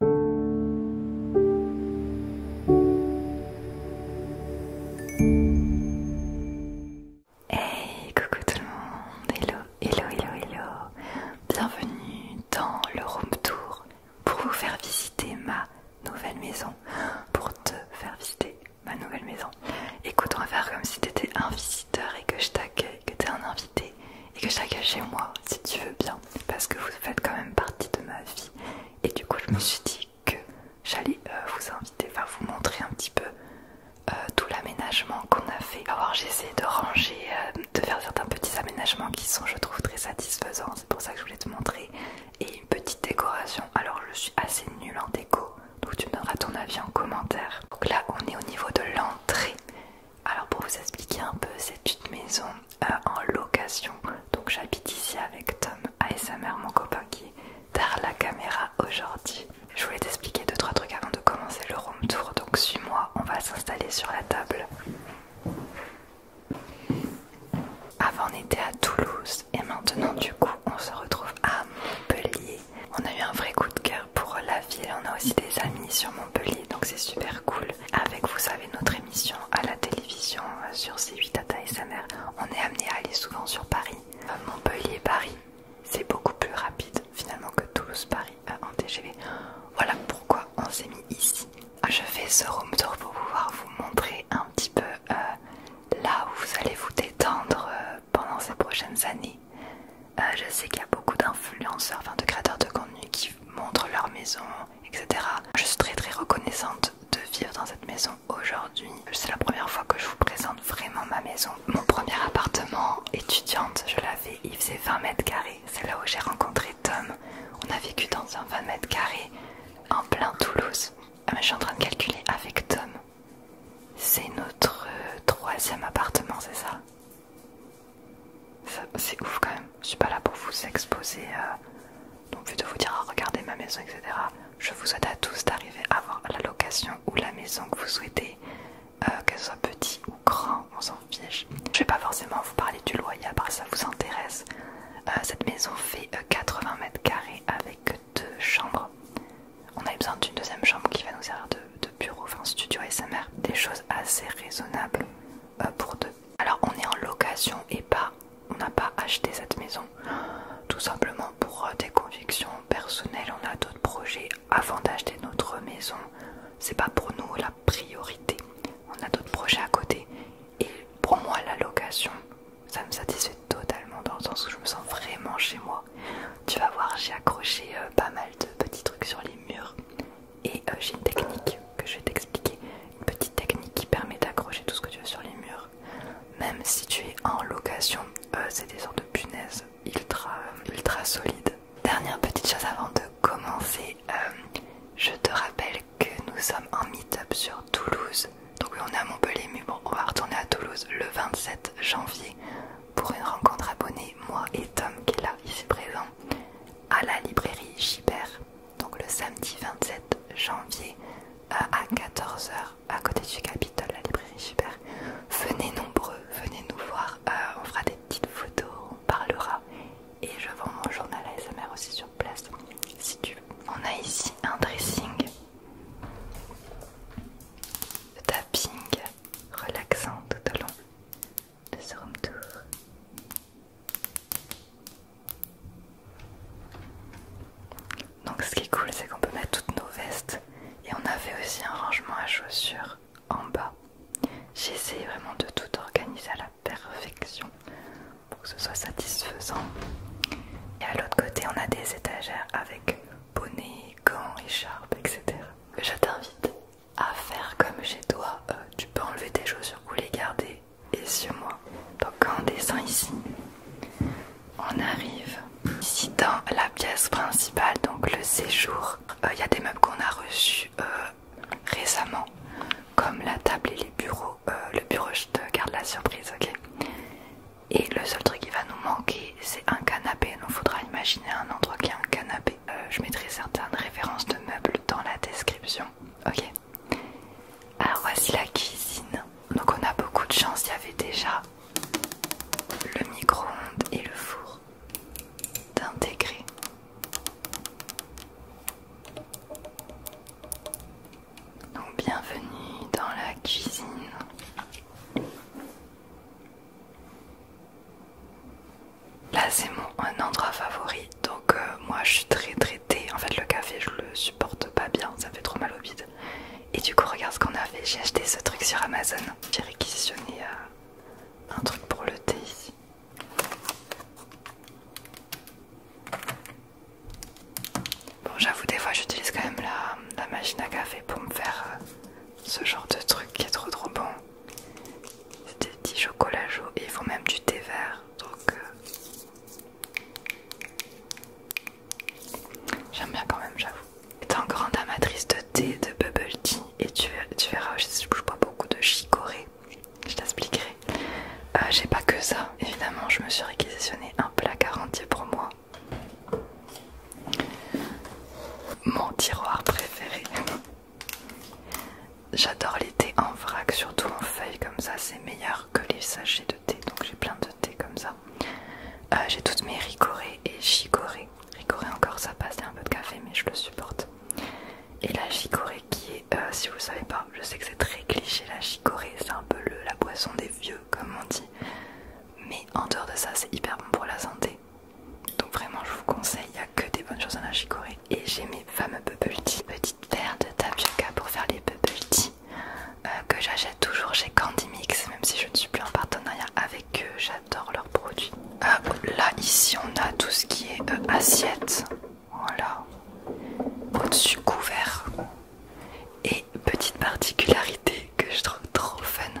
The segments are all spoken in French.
Hey, coucou tout le monde, hello, hello, hello, hello. Bienvenue dans le room tour pour vous faire visiter ma nouvelle maison, pour te faire visiter ma nouvelle maison. Écoute, on va faire comme si tu étais un visiteur et que je t'accueille, que t'es un invité et que je chez moi si tu veux bien parce que vous faites quand même partie de ma vie et du coup je me suis dit que j'allais euh, vous inviter, enfin vous montrer un petit peu euh, tout l'aménagement qu'on a fait. Alors j'ai essayé de ranger, euh, de faire certains petits aménagements qui sont je trouve très satisfaisants, c'est pour ça que je voulais te montrer et une petite décoration. Alors je suis assez nulle en déco donc tu donneras ton avis en commentaire. Donc là on est au niveau de l'entrée alors pour vous expliquer un peu, c'est une maison euh, en location. Donc j'habite ici avec Tom et sa mère, mon copain qui est la caméra aujourd'hui. Je voulais t'expliquer 2-3 trucs avant de commencer le room tour. Donc suis-moi, on va s'installer sur la table. Avant on était à Toulouse et maintenant du coup on se retrouve à Montpellier. On a eu un vrai coup de cœur pour la ville, on a aussi des amis sur Montpellier Montpellier, donc c'est super cool. Avec, vous savez, notre émission à la télévision euh, sur C8 Tata et sa mère, on est amené à aller souvent sur Paris. Euh, Montpellier, Paris, c'est beaucoup plus rapide finalement que Toulouse-Paris euh, en TGV. Voilà pourquoi on s'est mis ici. Je fais ce room tour pour pouvoir vous montrer un petit peu là où vous allez vous détendre pendant ces prochaines années. je sais qu'il y a beaucoup d'influenceurs, enfin de créateurs de contenu qui Montre montrent leur maison, etc. Je suis très très reconnaissante de vivre dans cette maison aujourd'hui. C'est la première fois que je vous présente vraiment ma maison. Mon premier appartement, étudiante, je l'avais, il faisait 20 mètres carrés. C'est là où j'ai rencontré Tom. On a vécu dans un 20 mètres carrés en plein Toulouse. Euh, je suis en train de calculer avec Tom. C'est notre euh, troisième appartement, c'est ça c'est ouf quand même. Je suis pas là pour vous exposer. donc, euh, de vous dire ah, regardez ma maison, etc. Je vous souhaite à tous d'arriver à avoir la location ou la maison que vous souhaitez, euh, qu'elle soit petit ou grand, on s'en fiche. Je vais pas forcément vous parler du loyer, à part ça vous intéresse. Euh, cette maison fait 80 mètres carrés avec deux chambres. On a besoin d'une deuxième chambre qui va nous servir de de bureau, enfin studio SMR, des choses assez raisonnables euh, pour deux. Alors on est en location et pas, on n'a pas acheté cette maison, tout simplement pour euh, des convictions personnelles, on a d'autres projets avant d'acheter notre maison, c'est pas pour nous la priorité, on a d'autres projets à côté et pour moi la location ça me satisfait totalement dans le sens où je me sens vraiment chez moi. Tu vas voir, j'ai accroché euh, pas mal de petits trucs sur les murs et euh, j'ai une technique que je vais t'expliquer. Une petite technique qui permet d'accrocher tout ce que tu veux sur les murs. Même si tu es en location, euh, c'est des sortes de punaises ultra, ultra solides. Dernière petite chose avant de commencer. Euh, je te rappelle que nous sommes en meet-up sur Toulouse. Donc oui, on est à Montpellier, mais bon, on va retourner à Toulouse le 27 janvier pour une rencontre abonnée, moi et Tom qui est là, ici présent à la librairie Gibert, donc le samedi 27 janvier euh, à 14h à côté du Capitole, la librairie Gibert. Venez nombreux, venez nous voir, euh, on fera des petites photos, on parlera et je vends mon journal ASMR aussi sur place si tu On a ici un dressing tapping relaxant tout au long de ce room tour. Donc ce qui est cool c'est qu'on peut mettre toutes nos vestes et on avait aussi un rangement à chaussures en bas. J'ai essayé vraiment de tout organiser à la perfection pour que ce soit satisfaisant. Et à l'autre côté on a des étagères avec bonnets, gants, écharpes, etc. Je t'invite à faire comme chez toi. Euh, tu peux enlever tes chaussures ou les garder. Et sur moi. Donc en descend ici, on arrive ici dans la pièce principale, donc le séjour. Euh, il y a des meubles qu'on a reçus euh, récemment, comme la table et les bureaux. le bureau, je te garde la surprise, ok Et le seul truc qui va nous manquer c'est un canapé, donc faudra imaginer un endroit qui a un canapé. Euh, je mettrai certaines références de meubles dans la description. Ok. Alors voici la cuisine. Donc on a beaucoup de chance, il y avait déjà le micro-ondes et le four d'intégrer. Donc bienvenue dans la cuisine. Là c'est mon endroit favori, donc euh, moi je suis très très thé. En fait le café je le supporte pas bien, ça fait trop mal au bide. Et du coup regarde ce qu'on a fait, j'ai acheté ce truc sur Amazon. J'ai réquisitionné euh, un truc pour le thé ici. Bon j'avoue des fois j'utilise quand même la, machine à café pour me faire euh, ce genre de truc qui est trop trop bon. C'est des petits chocolat chauds et ils font même du thé vert. Donc euh, j'aime bien quand même, j'avoue. Étant grande amatrice de thé, de bubble tea, et tu, tu verras, je, je bois beaucoup de chicorée, je t'expliquerai. Euh, j'ai pas que ça, évidemment, je me suis réquisitionné un placard entier pour moi. Mon tiroir préféré. J'adore les thés en vrac, surtout en feuilles comme ça, c'est meilleur que les sachets de thé. Donc j'ai plein de thé comme ça. Euh, j'ai toutes mes ricoré et chicorées. Ricoré encore ça passe, c'est un peu de café mais je le supporte. Et la chicorée qui est, euh, si vous ne savez pas, je sais que c'est très cliché la chicorée, c'est un peu le, la boisson des vieux comme on dit. Mais en dehors de ça c'est hyper bon pour la santé. Donc vraiment je vous conseille, il n'y a que des bonnes choses à la chicorée. Et j'ai mes fameux bubble tea, petite paire de tapioca pour faire les bubble tea euh, que j'achète toujours chez Candy Mix, même si je ne suis plus en partenariat avec eux, j'adore leurs produits. Euh, là ici on a tout ce qui est assiettes, euh, assiette, voilà, au-dessus couvert. Et petite particularité que je trouve trop fun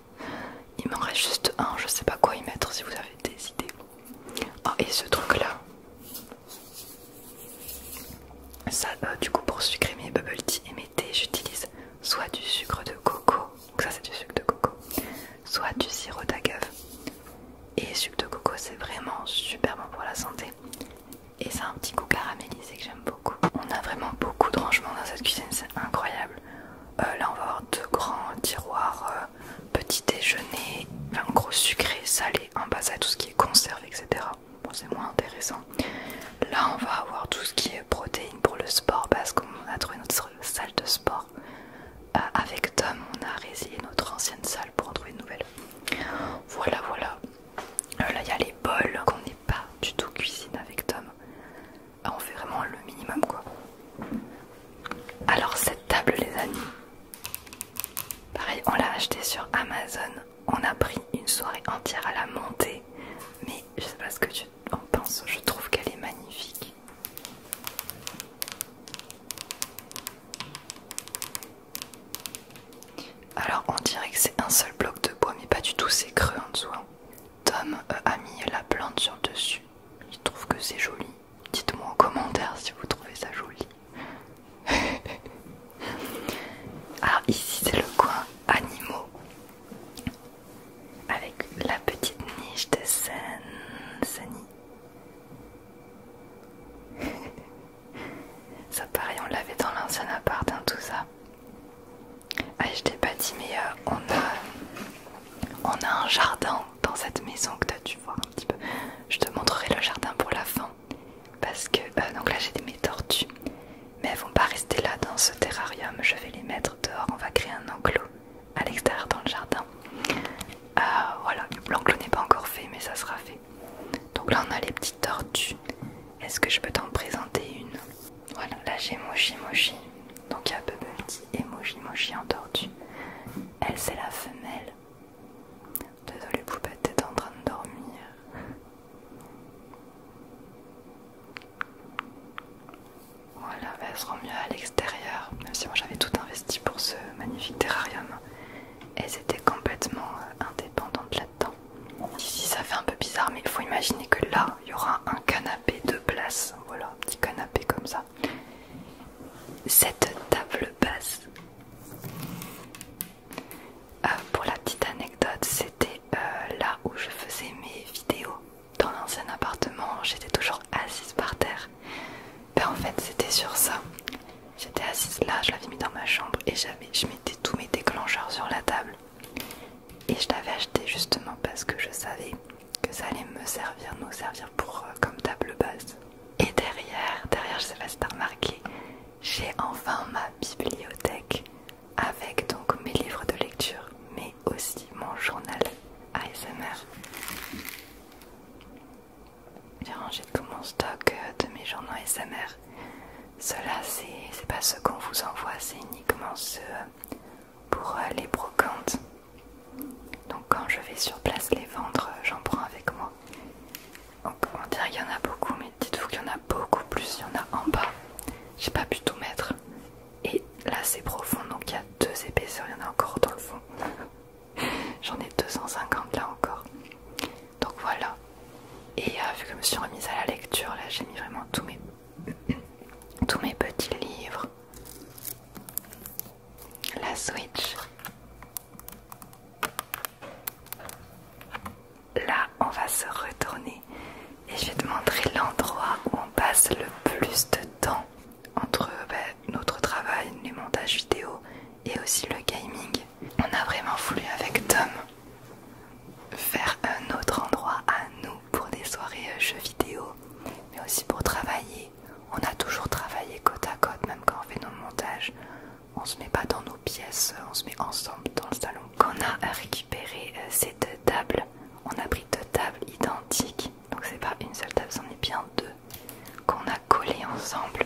Il m'en reste juste un, je sais pas quoi y mettre si vous avez des idées. Oh et ce truc là. Ça, euh, du coup, pour sucrer mes bubble tea et mes thés, j'utilise soit du sucre de coco, ça c'est du sucre de coco, soit du sirop d'agave. Et sucre de coco, c'est vraiment super bon pour la santé. Et a un petit goût caramélisé que j'aime beaucoup. On a vraiment beaucoup de rangements dans cette cuisine, c'est incroyable. Euh, là, on va avoir deux grands tiroirs, euh, petit déjeuner, un gros sucré, salé, en bas à tout ce qui est conserve, etc. Bon, c'est moins intéressant. Là, on va avoir tout ce qui est protéines pour le sport parce qu'on a trouvé notre salle de sport. Euh, avec Tom, on a résilié notre ancienne salle pour en trouver une nouvelle. Voilà, voilà. là, il y a les bols qu'on n'est pas du tout cuisine avec Tom. Ah, on fait vraiment le minimum quoi. Alors cette table les amis, pareil on l'a achetée sur Amazon, on a pris une soirée entière à la monter, mais je sais pas ce que tu en penses, je trouve qu'elle est magnifique. Alors on dirait que c'est un seul bloc de bois, mais pas du tout, c'est creux en dessous. Hein. Tom euh, a mis la plante sur le dessus. Il trouve que c'est joli. Dites-moi en commentaire si vous trouvez ça joli. Alors ici c'est le coin animaux. Avec la petite niche de Sani. Ça pareil on l'avait dans l'ancien appart hein, tout ça. Ah, je t'ai pas dit, mais euh, on, a, un jardin dans cette maison que tu as dû voir un petit peu. Je te montrerai le jardin pour la fin. Parce que, euh, donc là, j'ai mes tortues. Mais elles vont pas rester là dans ce terrarium. Je vais les mettre dehors. On va créer un enclos à l'extérieur dans le jardin. Euh, voilà, l'enclos n'est pas encore fait, mais ça sera fait. Donc là, on a les petites tortues. Est-ce que je peux t'en présenter une voilà, là j'ai Moshi Moshi. Donc il y a Bubble qui et moji moji en tortue. Elle, c'est la femelle. Désolée, poupette, t'es en train de dormir. Voilà, bah, elle se mieux à l'extérieur, même si moi j'avais tout investi pour ce magnifique terrarium. Elles étaient complètement euh, indépendantes de la ici ça fait un peu bizarre, mais il faut imaginer que là il y aura un canapé de place. Voilà, un petit canapé comme ça. Cette table basse. Euh, pour la petite anecdote, c'était euh, là où je faisais mes vidéos dans l'ancien appartement. J'étais toujours assise par terre. Ben, en fait, c'était sur ça. J'étais assise là, je l'avais mis dans ma chambre et j'avais, je mettais tous mes déclencheurs sur la table. Et je l'avais acheté justement parce que je savais que ça allait me servir, nous servir pour euh, comme table basse. Et derrière, derrière, je sais pas si t'as remarqué, j'ai enfin ma bibliothèque avec donc mes livres de lecture, mais aussi mon journal ASMR. J'ai rangé tout mon stock euh, de mes journaux ASMR cela, c'est pas ce qu'on vous envoie, c'est uniquement ce pour euh, les brocantes. Donc, quand je vais sur place les vendre, euh, j'en prends avec moi. Donc, on dirait qu'il y en a beaucoup, mais dites-vous qu'il y en a beaucoup plus. Il y en a en bas, j'ai pas pu tout mettre. Et là, c'est profond, donc il y a deux épaisseurs, il y en a encore dans le fond. J'en ai 250 là encore. Donc voilà. Et euh, vu que je me suis remise à la lecture, là j'ai mis vraiment tous mes, tous mes petits livres. La Switch. Là, on va se retourner et je vais te montrer l'endroit où on passe le plus de temps entre ben, notre travail, les montages vidéo et aussi le gaming on a vraiment voulu avec Tom faire un autre endroit à nous pour des soirées euh, jeux vidéo, mais aussi pour travailler. On a toujours travaillé côte à côte, même quand on fait nos montages. On se met pas dans nos pièces, euh, on se met ensemble dans le salon. Qu'on on a récupéré euh, ces deux tables, on a pris deux tables identiques, donc c'est pas une seule table, c'en est bien deux, qu'on a collées ensemble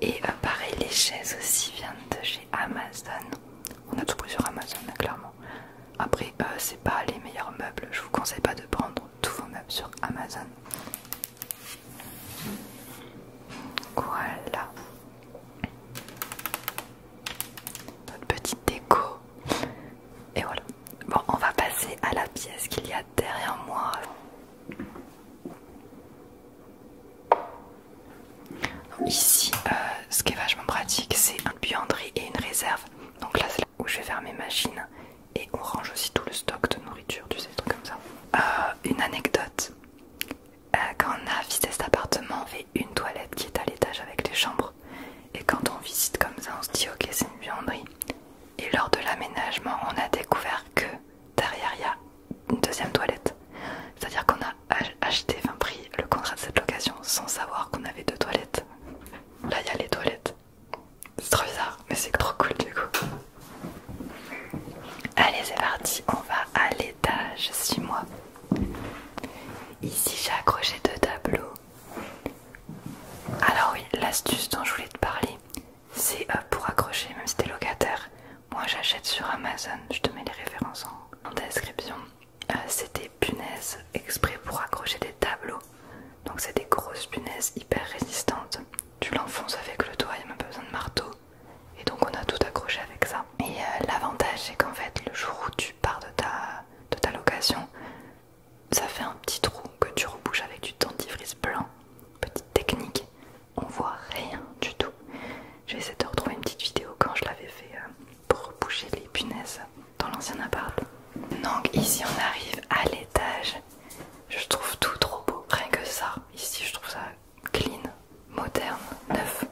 et bah, pareil, les chaises aussi viennent de chez Amazon. On a tout pris sur Amazon, clairement. Après, euh, c'est pas les meilleurs meubles. Je vous conseille pas de prendre tous vos meubles sur Amazon. Voilà. Notre petite déco. Et voilà. Bon, on va passer à la pièce qu'il y a derrière moi ici, euh, ce qui est vachement pratique, c'est une buanderie et une réserve. Donc là, c'est là où je vais faire mes machines. Et on range aussi tout le stock de nourriture, tu sais, des trucs comme ça. Euh, une anecdote. Euh, quand on a visité cet appartement, on fait une toilette qui est à l'étage avec les chambres. Et quand on visite comme ça, on se dit ok, c'est une buanderie. Et lors de l'aménagement, on a découvert que derrière il y a une deuxième toilette. C'est-à-dire qu'on a acheté, 20 prix, le contrat de cette location sans savoir qu'on avait deux toilettes. Là il y a les toilettes. C'est trop bizarre, mais c'est trop cool du coup. Allez c'est parti, on va à l'étage, suis mois. Ici j'ai accroché deux tableaux. Alors oui, l'astuce dont je voulais te parler, c'est euh, pour accrocher, même si t'es locataire. Moi j'achète sur Amazon, je te mets les références en, description. c'était euh, c'est des punaises exprès pour accrocher des tableaux. Donc c'est des grosses punaises hyper résistantes. Tu l'enfonces avec le doigt, il a même pas besoin de marteau. Et donc on a tout accroché avec ça. Et euh, l'avantage c'est qu'en fait le jour où tu pars de ta, de ta location, ça fait un petit trou que tu rebouches avec du dentifrice blanc. Petite technique, on voit rien du tout. Je vais essayer de retrouver une petite vidéo quand je l'avais fait euh, pour bouger les punaises dans l'ancien appart. Donc ici on arrive à l'étage. Je trouve tout trop beau, rien que ça. Ici je trouve ça clean, moderne, neuf.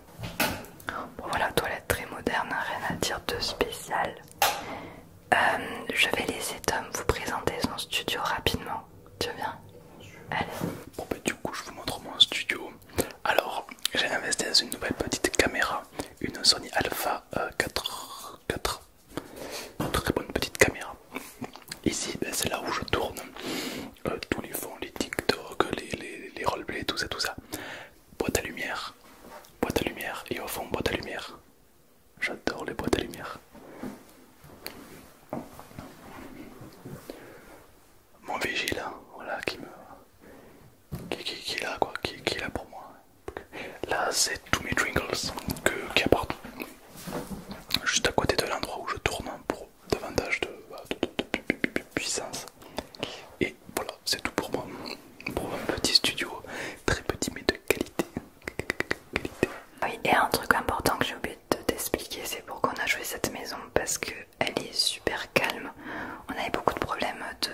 voilà, toilette très moderne, rien à dire de spécial. Euh, je vais laisser Tom vous présenter son studio rapidement. Tu viens Allez. Bon bah du coup je vous montre mon studio. Alors j'ai investi dans une nouvelle petite caméra, une Sony Alpha 4 euh, Très bonne petite caméra. Ici ben, c'est là où je tourne euh, tous les fonds, les TikTok, les, les, les tout ça, tout ça. Boîte à lumière, boîte à lumière et au fond boîte à lumière. J'adore les boîtes à lumière. Mon vigile, voilà, qui me... Qui, est là, quoi, qui, est là pour moi. Là, c'est tous mes Twinkles qui qui Juste à côté de l'endroit où je tourne pour davantage de bah, puissance. Et voilà, c'est tout pour moi. Pour un petit studio, très petit mais de qualité. Oui, et un truc important que j'ai oublié de t'expliquer, c'est pourquoi on a joué cette maison parce que elle est super calme. On avait beaucoup de problèmes de,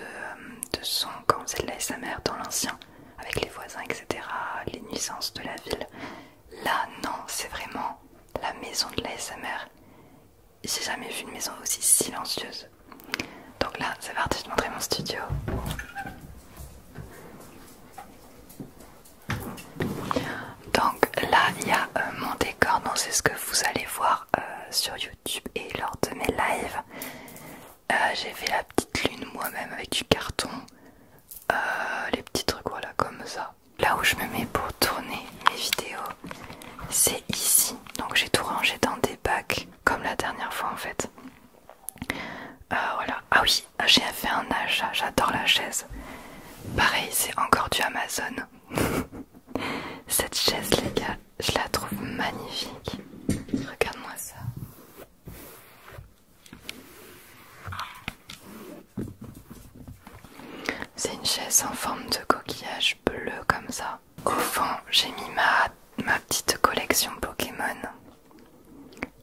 son quand on faisait de l'ASMR dans l'ancien, avec les voisins, etc., les nuisances de la ville. Là, non, c'est vraiment la maison de l'ASMR. J'ai jamais vu une maison aussi silencieuse. Donc là, c'est parti, je te montrer mon studio. Donc là, il y a euh, mon décor, donc c'est ce que vous allez voir euh, sur YouTube et lors de mes lives. Euh, j'ai fait la petite lune moi-même avec du carton, les petits trucs voilà comme ça. Là où je me mets pour tourner mes vidéos, c'est ici. Donc j'ai tout rangé dans des bacs, comme la dernière fois en fait. Euh, voilà. Ah oui, j'ai fait un achat, j'adore la chaise. Pareil, c'est encore du Amazon. Cette chaise, les gars, je la trouve magnifique. Regarde-moi ça. C'est une chaise en forme de coquillage bleu comme ça. Au fond, j'ai mis ma petite collection Pokémon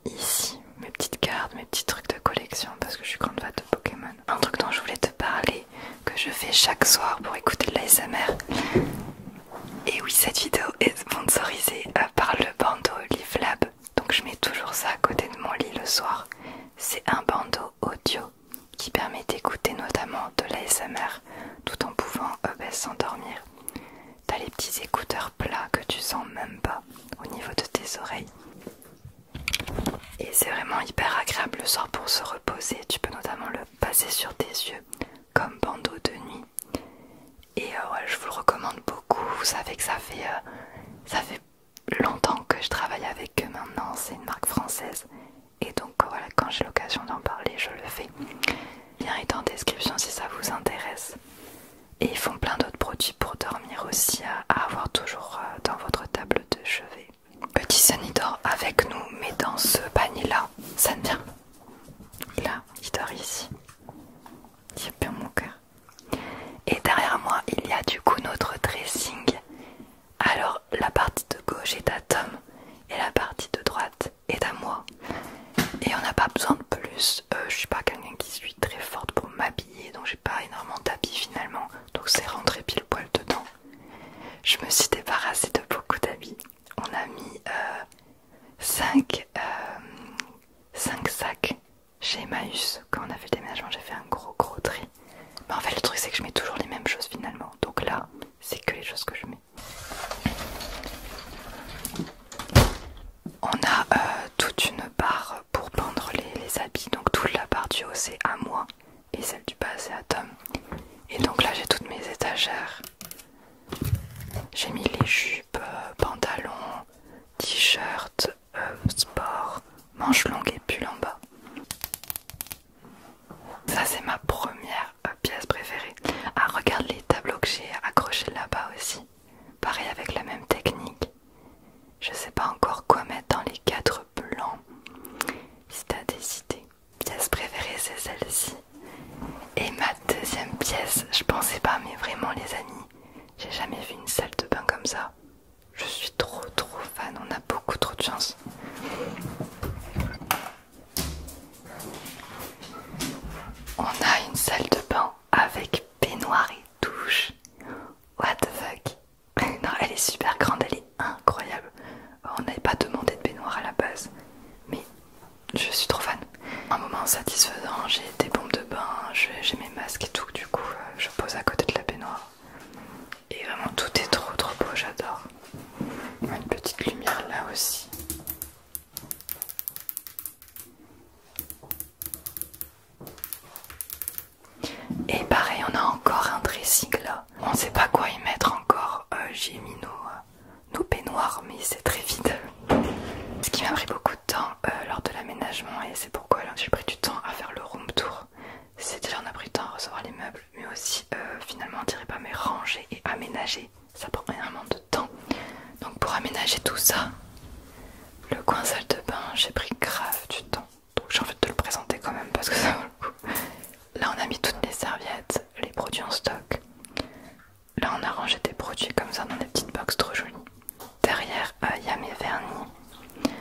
ici mes petites cartes, mes petits trucs de collection parce que je suis grande fan de Pokémon. Un truc dont je voulais te parler, que je fais chaque soir pour écouter de l'ASMR. Et oui, cette vidéo est sponsorisée euh, par le bandeau Live Lab. Donc je mets toujours ça à côté de mon lit le soir. C'est un bandeau audio qui permet d'écouter notamment de l'ASMR tout en pouvant euh, bah, s'endormir. T'as les petits écouteurs plats que tu sens même pas au niveau de tes oreilles. Et c'est vraiment hyper agréable le soir pour se reposer. Tu peux notamment le passer sur tes yeux comme bandeau de nuit. Et euh, je vous le recommande beaucoup. Vous savez que ça fait, euh, ça fait longtemps que je travaille avec eux maintenant. C'est une marque française. Et donc euh, voilà, quand j'ai l'occasion d'en parler, je le fais. Lien est en description si ça vous intéresse. Et ils font plein d'autres produits pour dormir aussi à, avoir toujours euh, dans votre table de chevet. Petit Sunny dort avec nous, mais dans ce panier là, ça ne vient. Là, il dort ici. Il bien mon cœur. Et derrière moi, il y a du coup notre dressing. Alors la partie de gauche est à Tom et la partie de droite est à moi et on n'a pas besoin de plus. Je euh, je suis pas quelqu'un qui suis très forte pour m'habiller, donc j'ai pas énormément d'habits finalement, donc c'est rentré pile poil dedans. Je me suis débarrassée de beaucoup d'habits. On a mis 5 euh, euh, sacs chez Emmaüs. Quand on a fait le déménagement, j'ai fait un gros gros tri. Mais en fait, le truc c'est que je mets toujours les mêmes choses finalement, donc là, c'est que les choses que je mets on a euh, toute une barre pour pendre les, habits, donc toute la barre du haut c'est à moi et celle du bas c'est à Tom. Et donc là j'ai toutes mes étagères. J'ai mis les jupes, euh, pantalons, t-shirts, euh, sport, manches longues et pull en bas. Ça c'est ma première pièce préférée. Ah regarde les tableaux que j'ai accrochés là-bas aussi. Pareil avec la même technique. Je sais pas encore quoi mettre dans les quatre plans. Si t'as des idées. Pièce préférée c'est celle-ci. Et ma deuxième pièce, je pensais pas, mais vraiment les amis, j'ai jamais vu une salle de bain comme ça. Je suis trop trop fan, on a beaucoup trop de chance. On a une salle de bain avec peignoir et douche. What the fuck Non, elle est super grande, elle est incroyable. On n'avait pas demandé de peignoir à la base, mais je suis trop fan. Un moment satisfaisant, j'ai des bombes de bain, j'ai mes masques et tout, du coup euh, je pose à côté de la baignoire. Et vraiment tout est trop trop beau, j'adore. Une petite lumière là aussi. Et pareil, on a encore un dressing là. On sait pas quoi y mettre encore. Euh, j'ai mis euh, nos, peignoirs, mais c'est très vide. Ce qui m'a pris beaucoup de temps euh, lors de l'aménagement, et c'est pourquoi j'ai pris du temps à faire le room tour. C'est déjà on a pris du temps à recevoir les meubles, mais aussi finalement, on dirait pas, mais ranger et aménager ça prend énormément de temps. Donc pour aménager tout ça, le coin salle de bain, j'ai pris grave du temps. Donc j'ai envie de te le présenter quand même parce que ça vaut le coup. Là on a mis toutes les serviettes, les produits en stock. Là on a rangé des produits comme ça dans des petites boîtes trop jolies. Derrière euh, il y a mes vernis.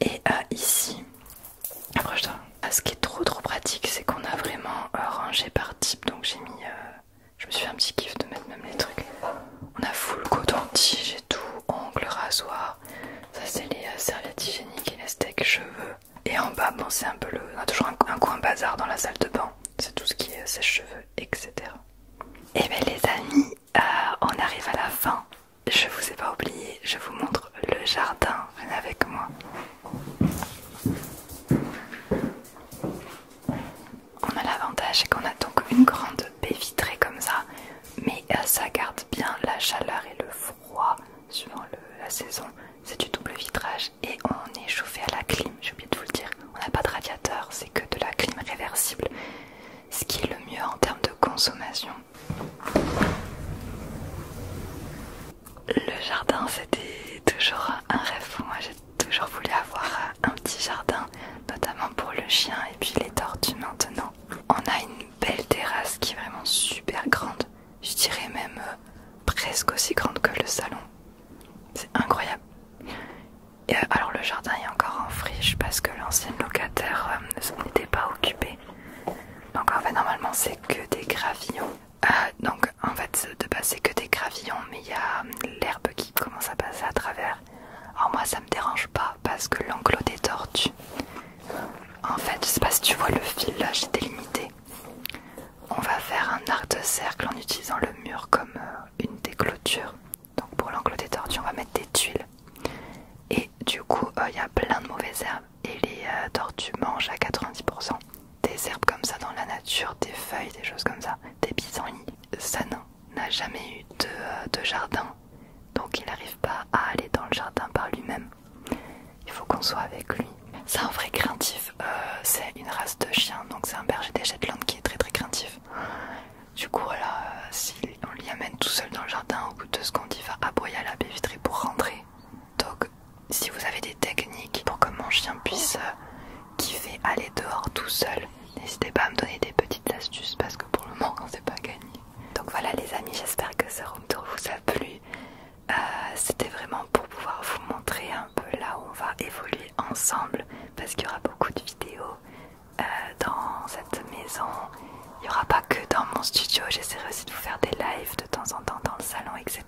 Et à euh, ici, approche-toi. Ah, ce qui est trop trop pratique, c'est qu'on a vraiment euh, rangé par type. Donc j'ai mis je me suis fait un petit kiff de mettre même les trucs. On a full coton-tige et tout, ongles, rasoir. Ça, c'est les euh, serviettes hygiéniques et les steaks cheveux. Et en bas, bon, c'est un peu le. On a toujours un, coin bazar dans la salle de bain. C'est tout ce qui est euh, sèche-cheveux, etc. Et eh bien, les amis, euh, on arrive à la fin. Je vous ai pas oublié, je vous montre le jardin. avec moi. On a l'avantage c'est qu'on a donc une grande baie vitrée comme ça, mais euh, ça garde bien la chaleur et le froid suivant la saison. C'est du double vitrage et on est chauffé à la clim, j'ai oublié de vous le dire. On n'a pas de radiateur, c'est que de la clim réversible, ce qui est le mieux en termes de consommation. Le jardin, c'était toujours un rêve pour moi. J'ai toujours voulu avoir un petit jardin, notamment pour le chien et puis les tortues maintenant. On a une belle terrasse qui est vraiment super grande. Je dirais même euh, presque aussi grande que le salon. C'est incroyable. Euh, alors le jardin est encore en friche parce que l'ancien locataire ne euh, s'en était pas occupé. Donc en fait normalement c'est que des gravillons euh, donc en fait de passer que des gravillons mais il y a hum, l'herbe qui commence à passer à travers. Alors moi ça me dérange pas parce que l'enclos des tortues, en fait je sais pas si tu vois le fil là j'ai délimité. On va faire un arc de cercle en utilisant le mur comme euh, une des clôtures. Donc pour l'enclos des tortues on va mettre des tuiles. Et du coup euh, il y a plein de mauvaises herbes et les tortues mangent à 90% des herbes comme ça dans la nature, des feuilles, des choses comme ça, des pissenlits. ça n'a jamais eu euh, de, jardin, donc il n'arrive pas à aller dans le jardin par lui-même. Il faut qu'on soit avec lui. C'est un vrai craintif, euh, c'est une race de chien, donc c'est un berger des Shetland qui est très très craintif. Du coup, voilà, euh, si on lui amène tout seul dans le jardin, au bout de deux secondes, il va aboyer à la baie vitrée pour rentrer. Donc, si vous avez des techniques pour que mon chien puisse euh, kiffer aller dehors tout seul, n'hésitez pas à me donner des petites astuces parce que pour le moment on c'est pas gagné. Donc voilà les amis, j'espère que ce room tour vous a plu. Euh, c'était vraiment pour pouvoir vous montrer un peu là où on va évoluer ensemble parce qu'il y aura beaucoup de vidéos euh, dans cette maison. Il n'y aura pas que dans mon studio, j'essaierai aussi de vous faire des lives de temps en temps dans le salon, etc.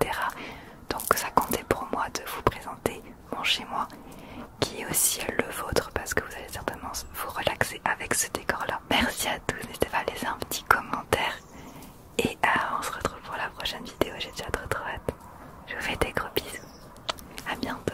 Donc ça comptait pour moi de vous présenter mon chez moi qui est aussi le vôtre parce que vous allez certainement vous relaxer avec ce décor là. Merci à tous, n'hésitez pas à laisser un petit commentaire et euh, on se retrouve pour la prochaine vidéo, j'ai déjà trop trop hâte. Je vous fais des gros bisous, à bientôt